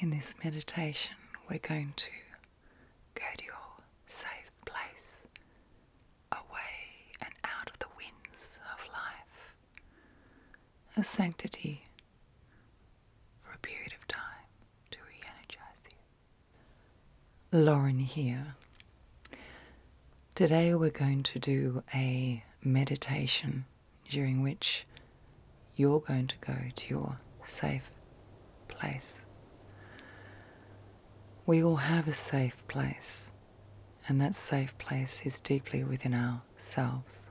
In this meditation, we're going to go to your safe place, away and out of the winds of life, a sanctity for a period of time to re energize you. Lauren here. Today, we're going to do a meditation during which you're going to go to your safe place. We all have a safe place, and that safe place is deeply within ourselves.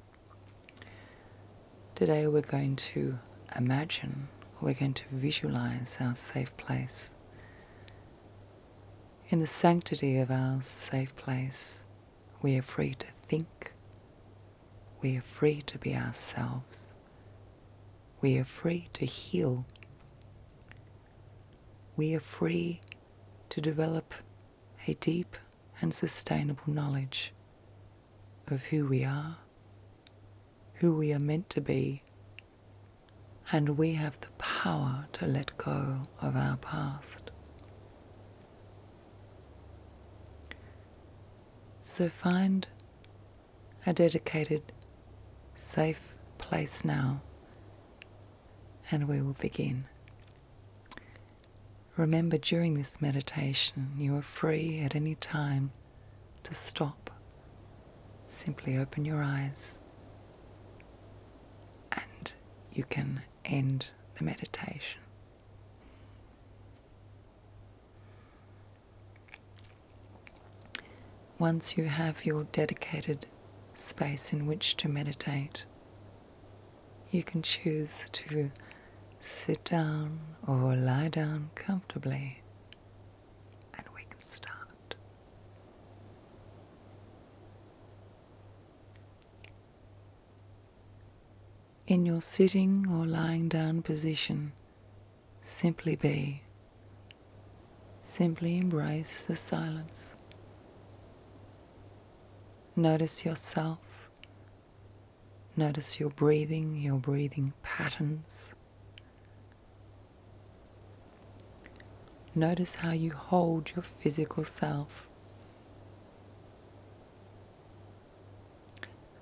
Today, we're going to imagine, we're going to visualize our safe place. In the sanctity of our safe place, we are free to think. We are free to be ourselves. We are free to heal. We are free to develop a deep and sustainable knowledge of who we are, who we are meant to be, and we have the power to let go of our past. So find a dedicated, safe place now, and we will begin. Remember during this meditation, you are free at any time to stop. Simply open your eyes and you can end the meditation. Once you have your dedicated space in which to meditate, you can choose to sit down or lie down comfortably, and we can start. In your sitting or lying down position, simply be. Simply embrace the silence. Notice yourself. Notice your breathing, your breathing patterns. Notice how you hold your physical self.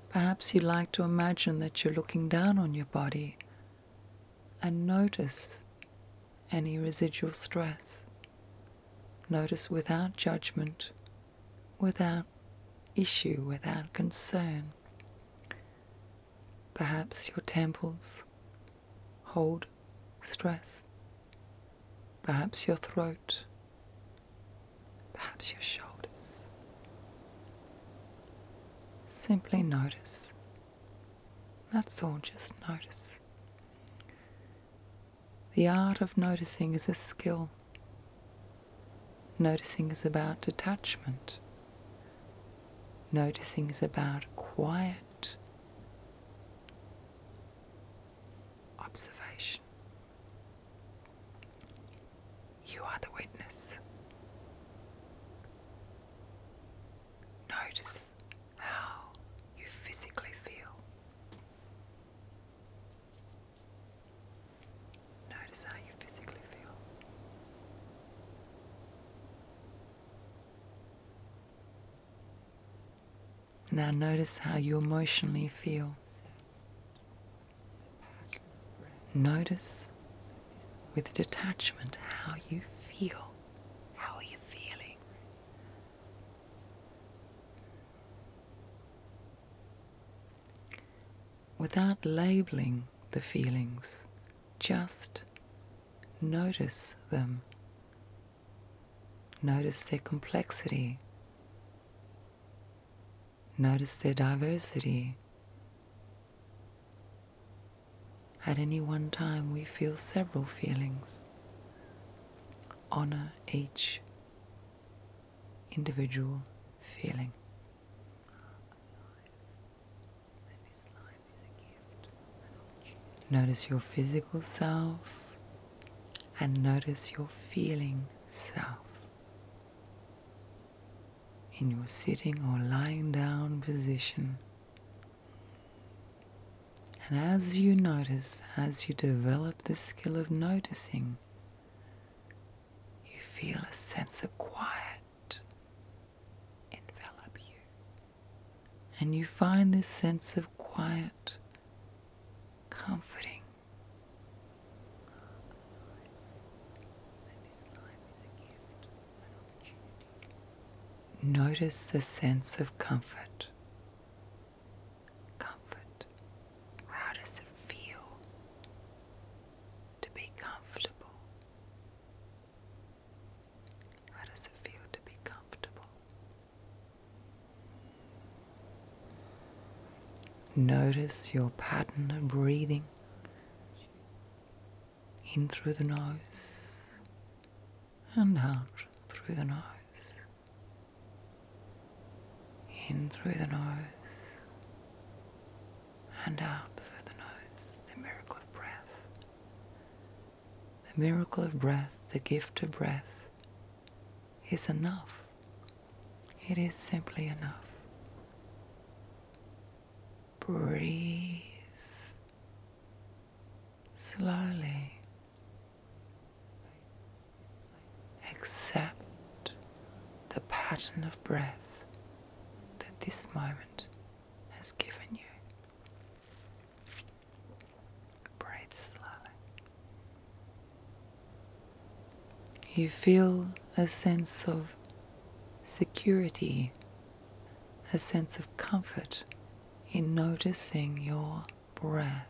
Perhaps you like to imagine that you're looking down on your body and notice any residual stress. Notice without judgment, without issue, without concern. Perhaps your temples hold stress. Perhaps your throat, perhaps your shoulders. Simply notice. That's all, just notice. The art of noticing is a skill. Noticing is about detachment. Noticing is about quiet observation. You are the witness. Notice how you physically feel. Notice how you physically feel. Now notice how you emotionally feel. Notice with detachment how you feel. How are you feeling? Without labeling the feelings, just notice them Notice their complexity. Notice their diversity. At any one time, we feel several feelings. Honor each individual feeling. Notice your physical self, and notice your feeling self in your sitting or lying down position. And as you notice, as you develop the skill of noticing, you feel a sense of quiet envelop you. And you find this sense of quiet comforting. Notice the sense of comfort. Comfort. How does it feel to be comfortable? How does it feel to be comfortable? Notice your pattern of breathing in through the nose and out through the nose. In through the nose and out through the nose. The miracle of breath. The miracle of breath, the gift of breath is enough. It is simply enough. Breathe slowly. Accept the pattern of breath that this moment has given you. Breathe slowly. You feel a sense of security, a sense of comfort in noticing your breath.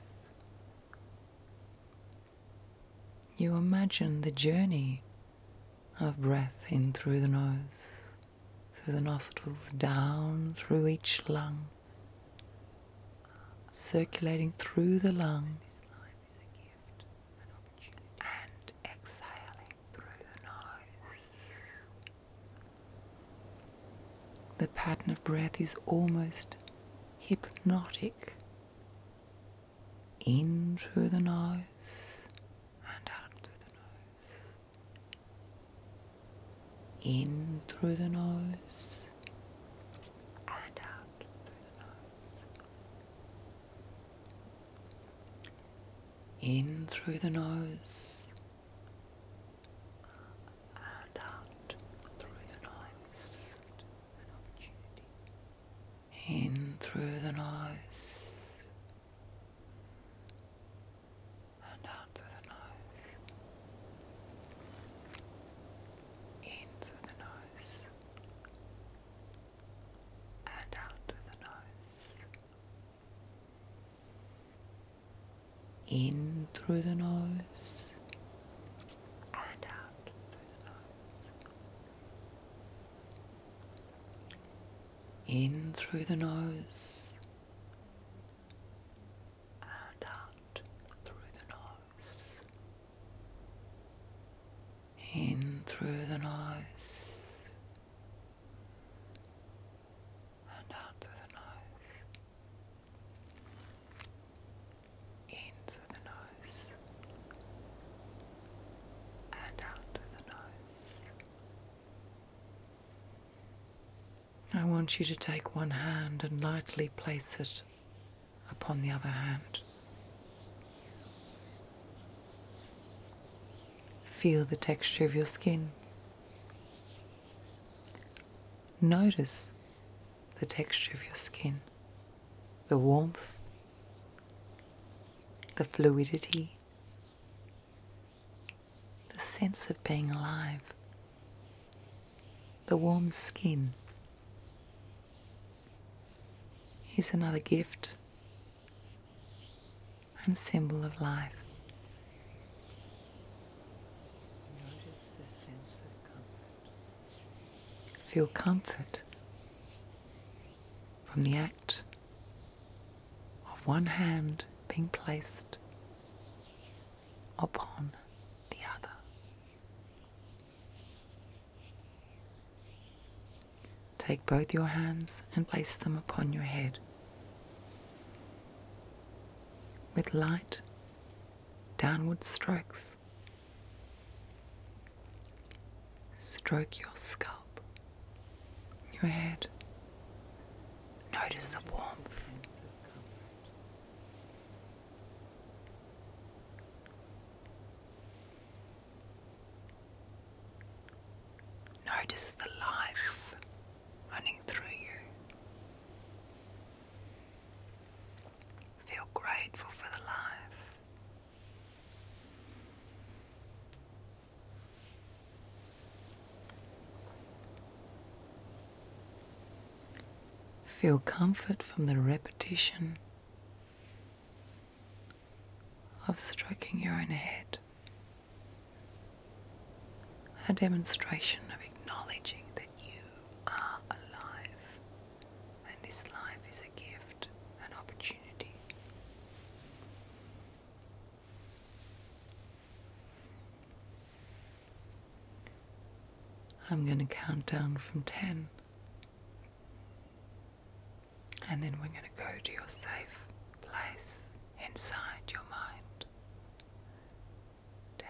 You imagine the journey of breath in through the nose, through the nostrils, down through each lung, circulating through the lungs and exhaling through the nose. The pattern of breath is almost hypnotic. In through the nose and out through the nose in through the nose and out through the nose. In through the nose and out through the nose. In through the nose and out through the nose, in through the nose, and out through the nose, in through the nose, and out through the nose, in through the nose and out through the nose, in through the nose, and out through the nose, in through the nose, and out through the nose. I want you to take one hand and lightly place it upon the other hand. Feel the texture of your skin. Notice the texture of your skin, the warmth, the fluidity, the sense of being alive the warm skin. is another gift and symbol of life. Notice the sense of comfort. Feel comfort from the act of one hand being placed upon the other. Take both your hands and place them upon your head. With light, downward strokes, stroke your scalp, your head. Notice the warmth Notice the life running through you. Feel grateful for the life. Feel comfort from the repetition of stroking your own head. A demonstration of acknowledging that you are alive and this life is a gift, an opportunity. I'm going to count down from 10. And then we're going to go to your safe place inside your mind. 10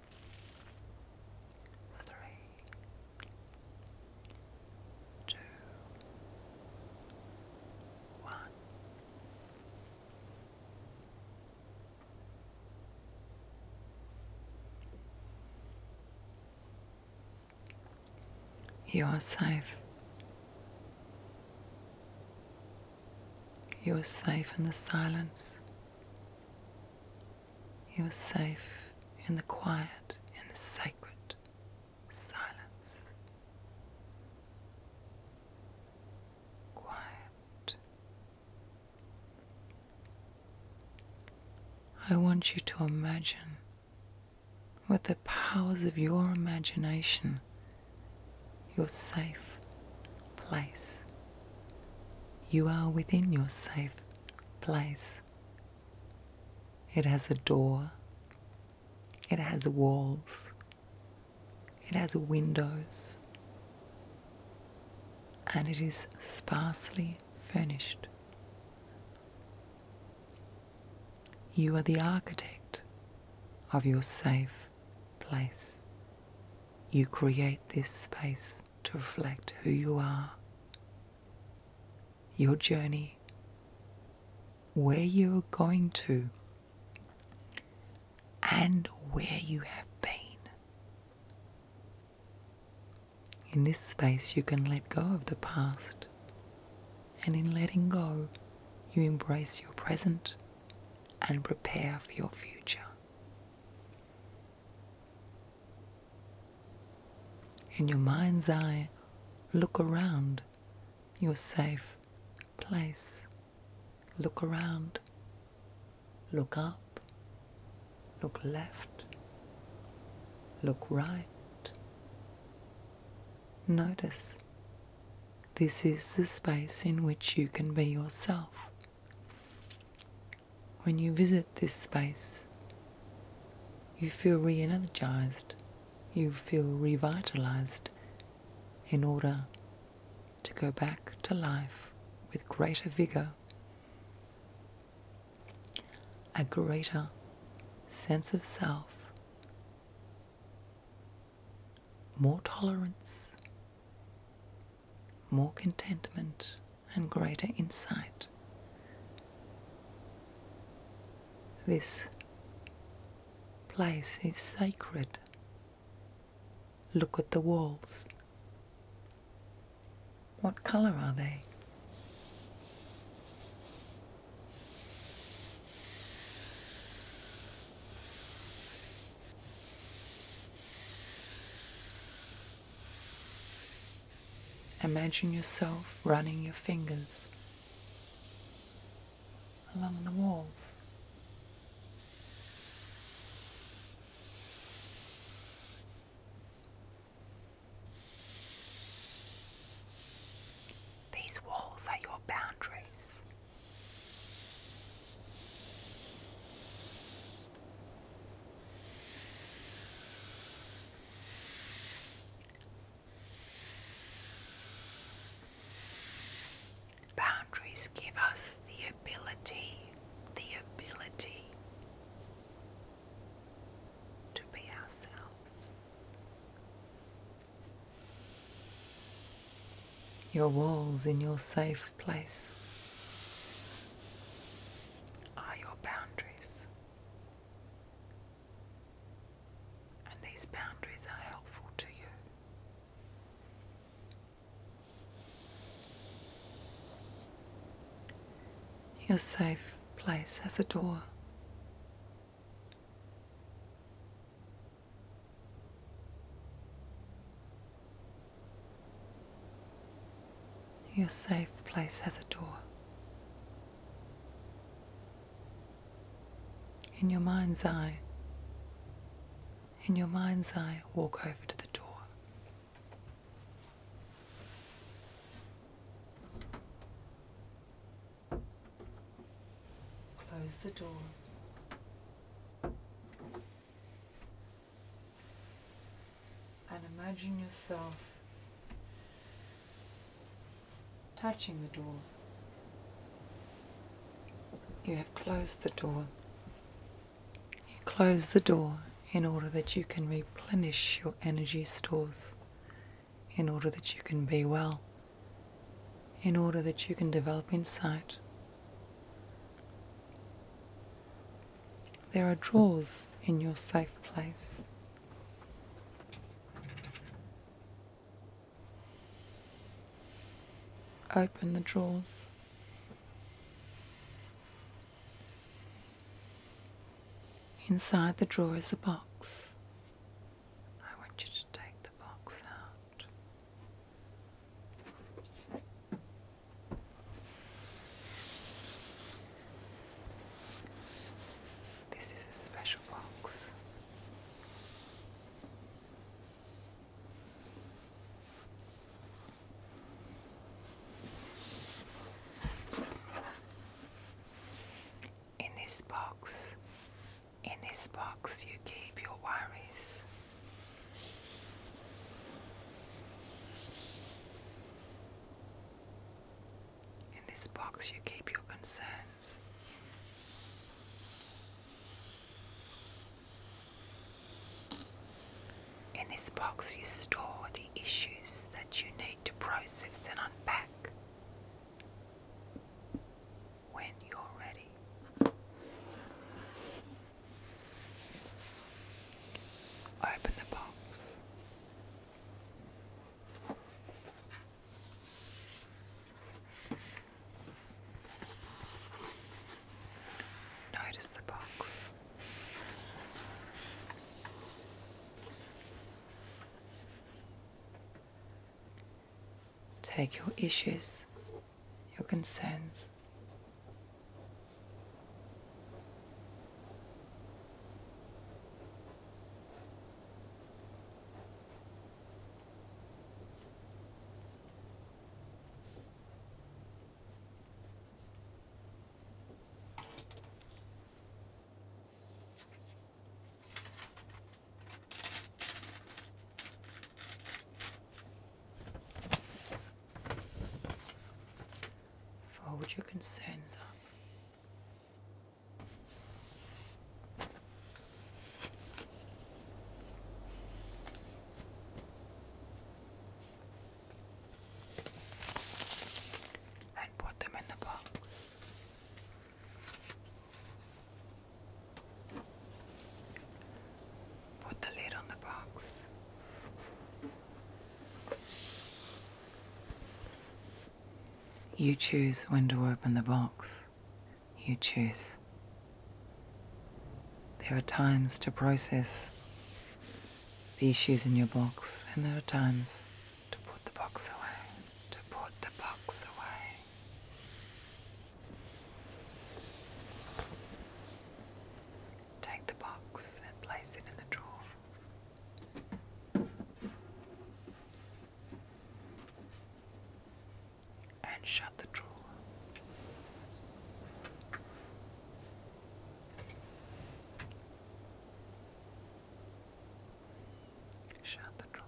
three, two, one. You are safe. You are safe in the silence. You are safe in the quiet, in the sacred silence. Quiet. I want you to imagine with the powers of your imagination your safe place. You are within your safe place. It has a door, it has walls, it has windows, and it is sparsely furnished. You are the architect of your safe place. You create this space to reflect who you are, your journey, where you're going to, and where you have been. In this space, you can let go of the past, and in letting go, you embrace your present and prepare for your future. In your mind's eye, look around your safe place. Look around. Look up. Look left. Look right. Notice this is the space in which you can be yourself. When you visit this space, you feel reenergized. you feel revitalized in order to go back to life with greater vigor, a greater sense of self, more tolerance, more contentment and greater insight. This place is sacred. Look at the walls. What colour are they? Imagine yourself running your fingers along the walls. These walls are your boundaries. Boundaries give us the ability, the ability to be ourselves. Your walls in your safe place are your boundaries. And these boundaries are helpful to you. Your safe place has a door. Your safe place has a door. In your mind's eye, in your mind's eye, walk over to the door. Close the door. And imagine yourself touching the door. You have closed the door. You close the door in order that you can replenish your energy stores, in order that you can be well, in order that you can develop insight, there are drawers in your safe place. Open the drawers. Inside the drawer is a box. I want you to take the box out. This is a special box. In this box, in this box, you keep your worries. In this box, you keep your concerns. In this box, you store the issues that you need to process and unpack when you're ready. Open the box. Notice the box. Take your issues your concerns. Fold your concerns up. and put them in the box. Put the lid on the box. You choose when to open the box. You choose. There are times to process the issues in your box, and there are times to put the box away, to put the box away. Take the box and place it in the drawer. And shut the drawer. Shut the drawer.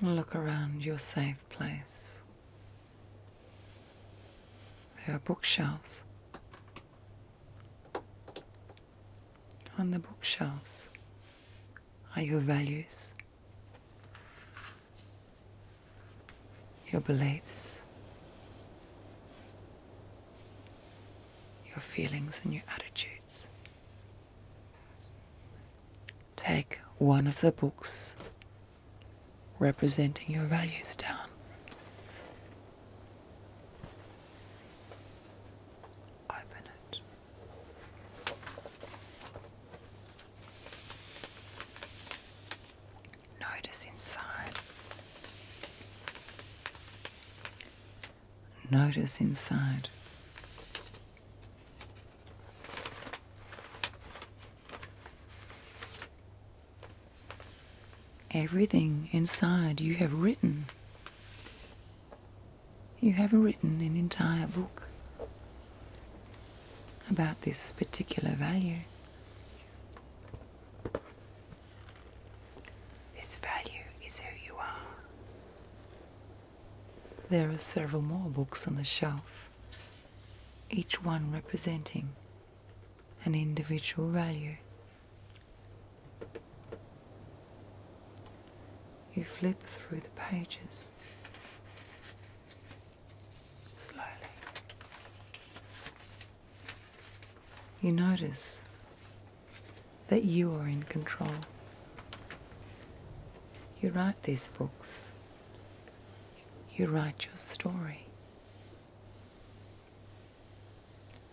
Look around your safe place. There are bookshelves. On the bookshelves are your values, your beliefs, your feelings, and your attitudes take one of the books representing your values down. Open it. Notice inside. Notice inside. Everything inside you have written. You have written an entire book about this particular value. This value is who you are. There are several more books on the shelf, each one representing an individual value. You flip through the pages slowly. You notice that you are in control. You write these books. You write your story.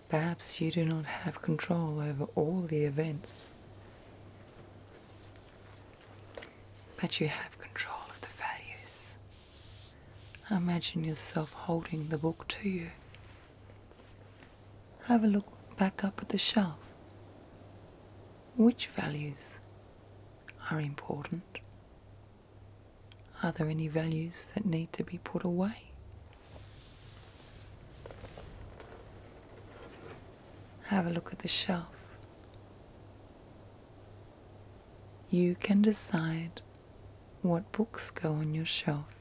Perhaps you do not have control over all the events, but you have control of the values. Imagine yourself holding the book to you. Have a look back up at the shelf. Which values are important? Are there any values that need to be put away? Have a look at the shelf. You can decide what books go on your shelf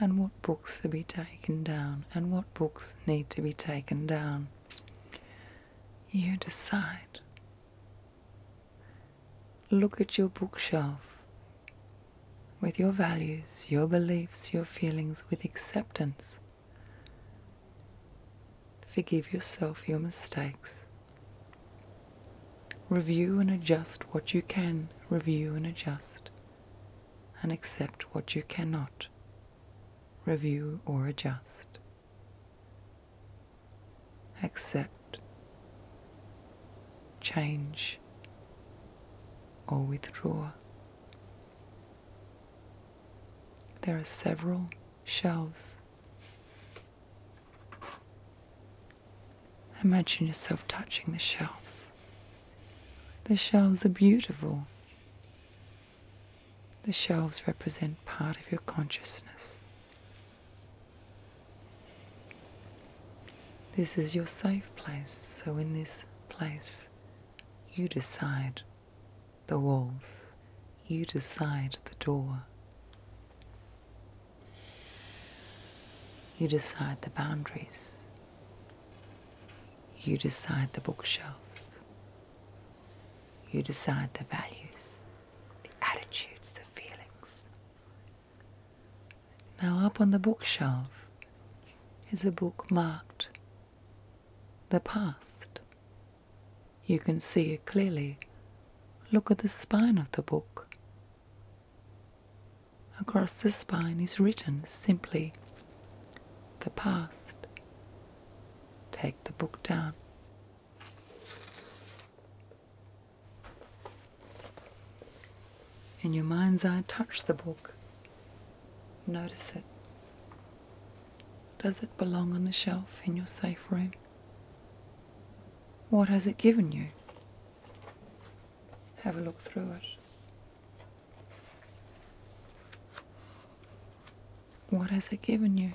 and what books to be taken down and what books need to be taken down. You decide. Look at your bookshelf with your values, your beliefs, your feelings with acceptance. Forgive yourself your mistakes. Review and adjust what you can, review and adjust, and accept what you cannot review, or adjust. Accept, change, or withdraw. There are several shelves. Imagine yourself touching the shelves. The shelves are beautiful. The shelves represent part of your consciousness. This is your safe place, so in this place, you decide the walls, you decide the door, you decide the boundaries. You decide the bookshelves. You decide the values, the attitudes, the feelings. Now, up on the bookshelf is a book marked The Past. You can see it clearly. Look at the spine of the book. Across the spine is written simply the past. Take the book down. In your mind's eye, touch the book. Notice it. Does it belong on the shelf in your safe room? What has it given you? Have a look through it. What has it given you?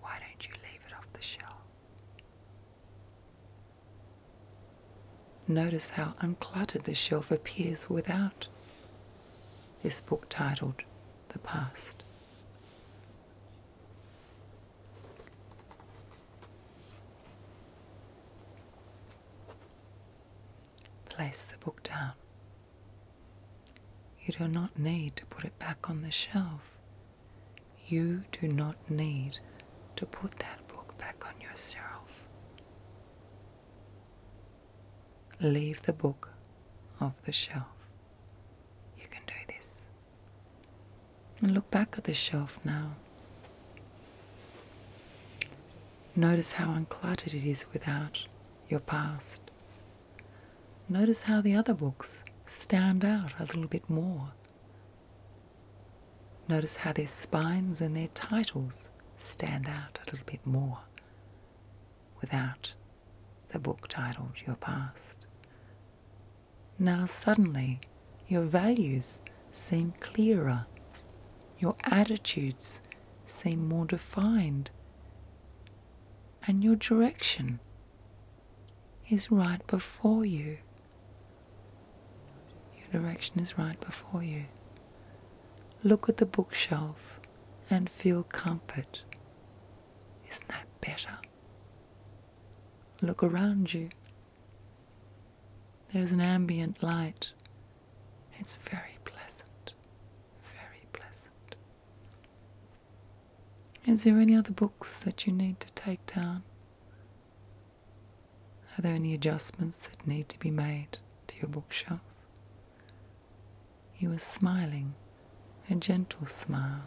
Why don't you leave it off the shelf? Notice how uncluttered the shelf appears without this book titled the past. Place the book down. You do not need to put it back on the shelf. You do not need to put that book back on yourself. Leave the book off the shelf. You can do this. And look back at this shelf now. Notice how uncluttered it is without your past. Notice how the other books stand out a little bit more. Notice how their spines and their titles stand out a little bit more without the book titled Your Past. Now suddenly, your values seem clearer, your attitudes seem more defined, and your direction is right before you. Your direction is right before you. Look at the bookshelf and feel comfort isn't that better? Look around you. There's an ambient light. It's very pleasant. Very pleasant. Is there any other books that you need to take down? Are there any adjustments that need to be made to your bookshelf? You was smiling, a gentle smile,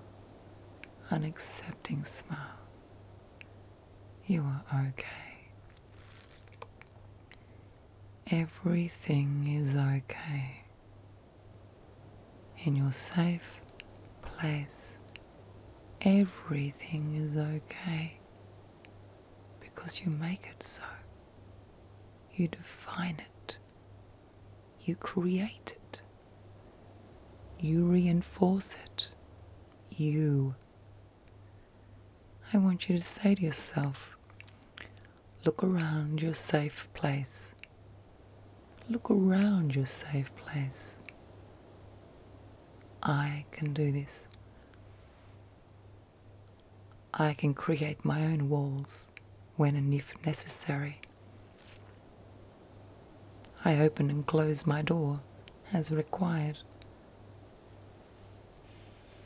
an accepting smile. You are okay. Everything is okay. In your safe place, everything is okay because you make it so. You define it you create it. You reinforce it. You. I want you to say to yourself, look around your safe place. Look around your safe place. I can do this. I can create my own walls when and if necessary. I open and close my door as required.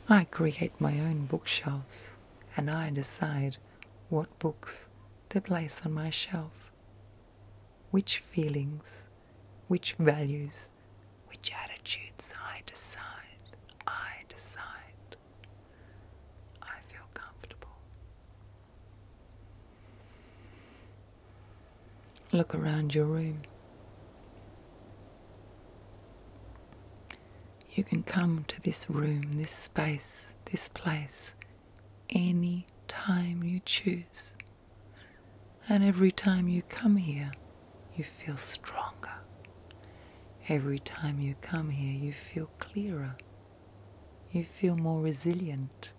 I create my own bookshelves and I decide what books to place on my shelf, which feelings, which values, which attitudes I decide, I decide. I feel comfortable. Look around your room. You can come to this room, this space, this place any time you choose. And every time you come here, you feel stronger. Every time you come here, you feel clearer you feel more resilient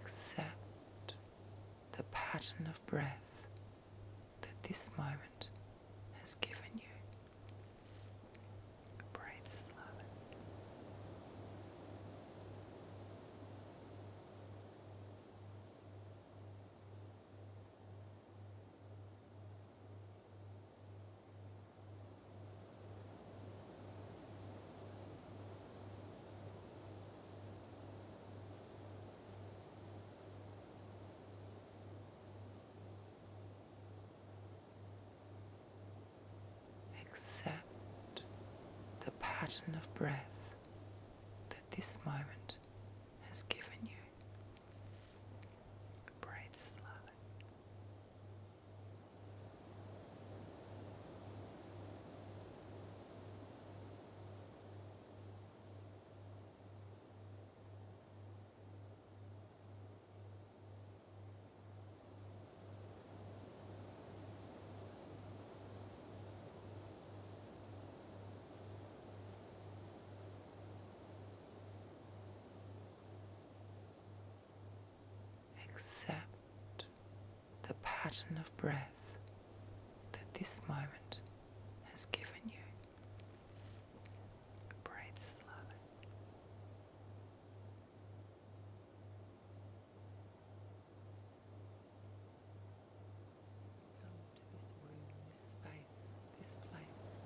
accept the pattern of breath that this moment has given you. Breathe slowly. Accept the pattern of breath that this moment has given you. Breathe slowly accept the pattern of breath that this moment has given you. Breathe slowly. Come to this room, this space, this place,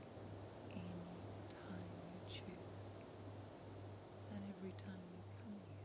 any time you choose, and every time you come here.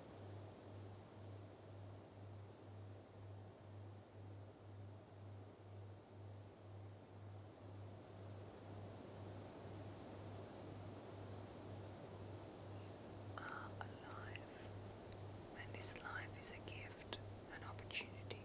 are alive, and this life is a gift, an opportunity.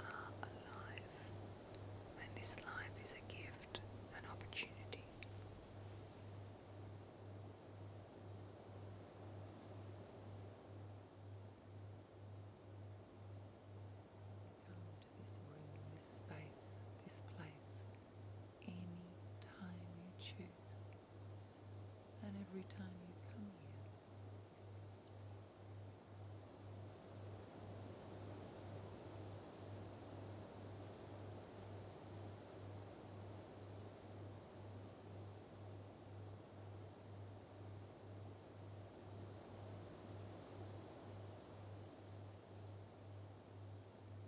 are alive, and this life is a gift, an opportunity. Come to this room, this space, this place any time you choose and every time you come here.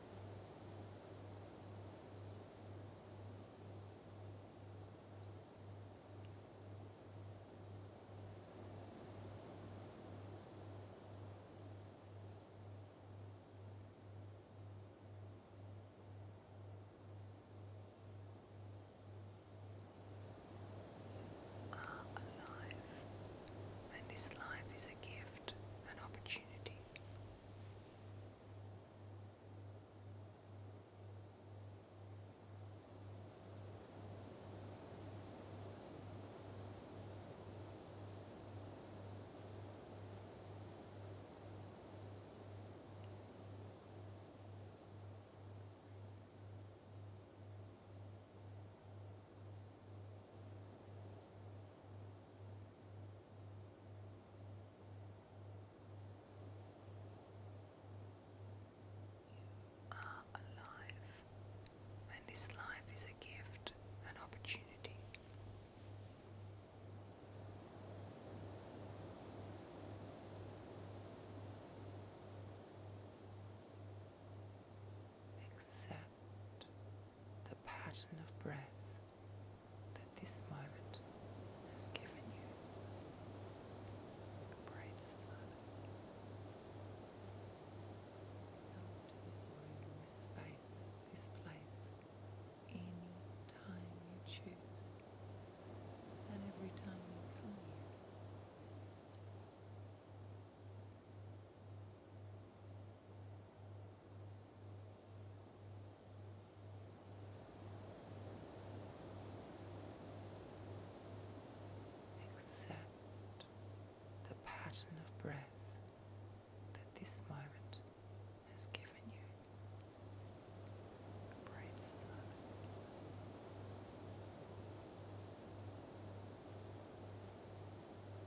are alive, and this life is as a gift, an opportunity are alive, and this life is a gift, an opportunity. Accept the pattern of breath that this moment has given you. Breathe slowly. this room, this space, this place, any time you choose, and every time you come here. Accept the pattern of breath that this moment has given you.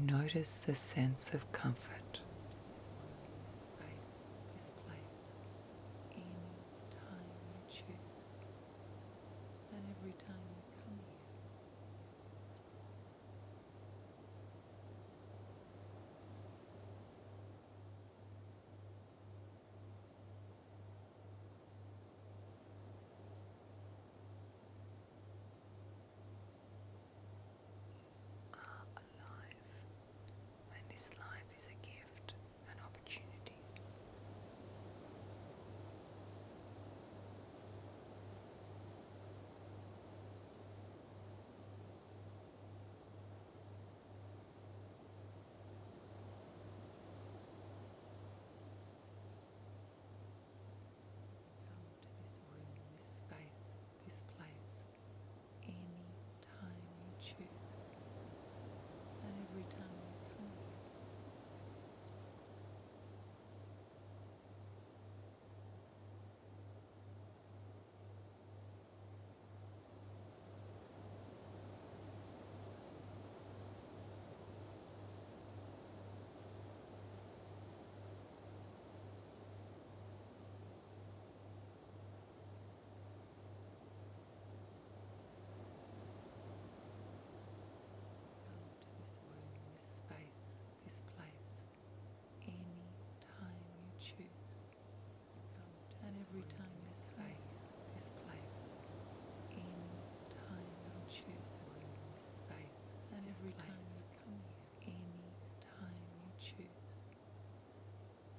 Notice the sense of comfort. This world, this space, this place, any time you choose, and every time you come here are alive, and this life is a gift, an opportunity. Come this room, this space, this place, any time you choose, and every time you come Come to this world, this space, this place any time you choose. And every time you this space, this place, any time you choose. This space, and every any time you choose.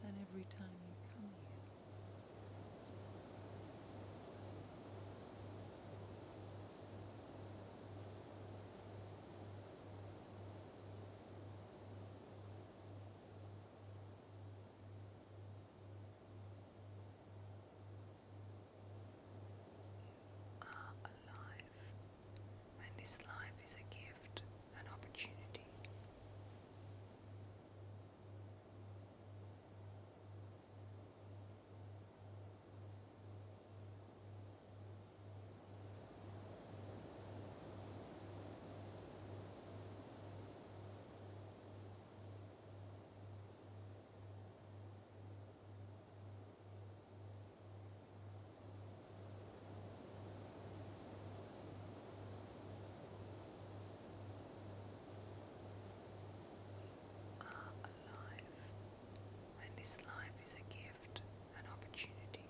And every time you come here are alive, and this life is a gift, an opportunity are alive, and this life is a gift, an opportunity,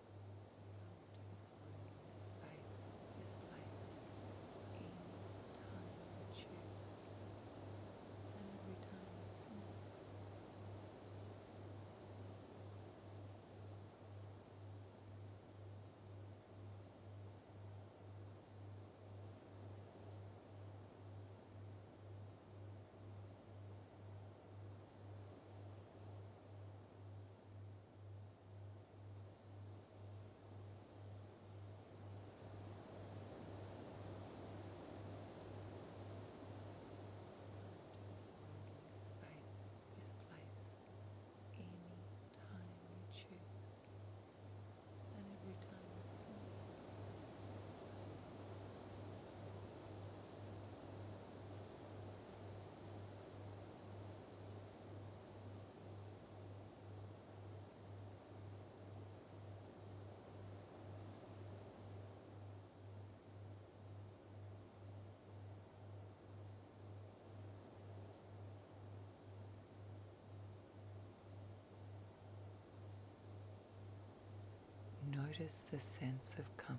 to this room, this space, this place, any time you choose, and every time you come. Now surrounding space, this place, any time you choose, and every time you call. Now Notice the sense of comfort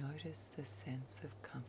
Notice the sense of comfort.